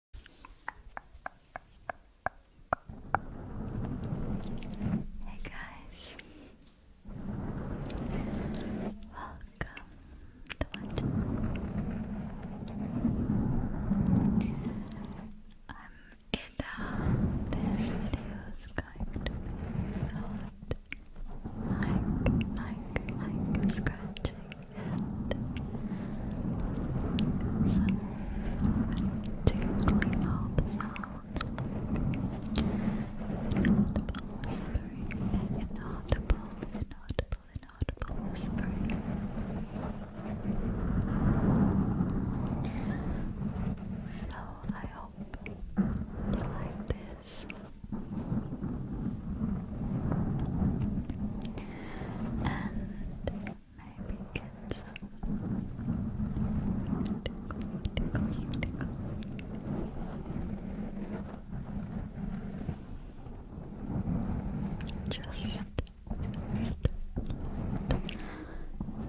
Hey guys, welcome to my channel. I'm Ida. Uh, this video is going to be about mic, mic, mic scratching and some tingly mouth sounds inaudible whispering, inaudible, inaudible, inaudible whispering so I hope you like this and maybe get some Just, just, back, back, back, back.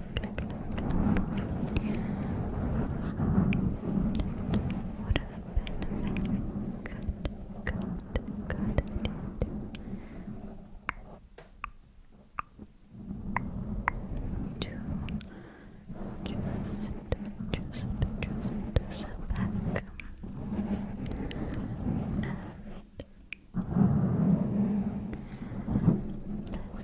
What are the benefits? Good, good, good. To just, just, just sit back and listen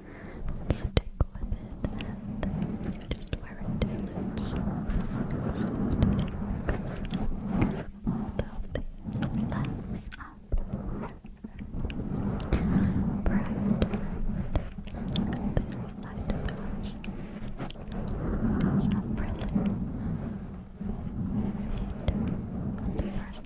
stick with it and just wear it till it's soft although the lens up bright and the light bulbs is the first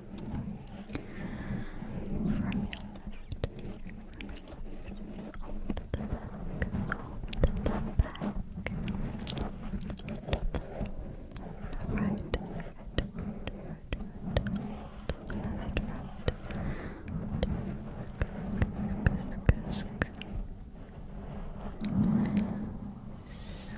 From your left ear, from your left ear, all to the back, all to the back, all to the back. Right, right, right, right, left, right. Sk, sk, sk. Sk.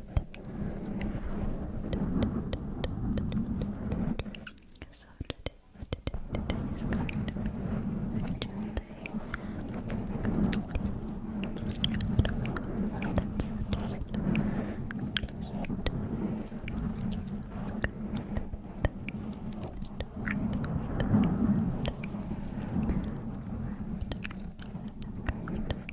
So today, today, today is going to be a chill day. Good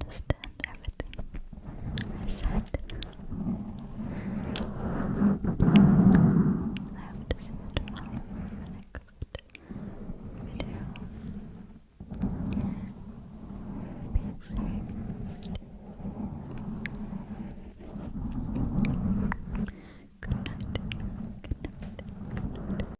understand everything I said. I hope to see you tomorrow in the next video. Be Good night. Good night.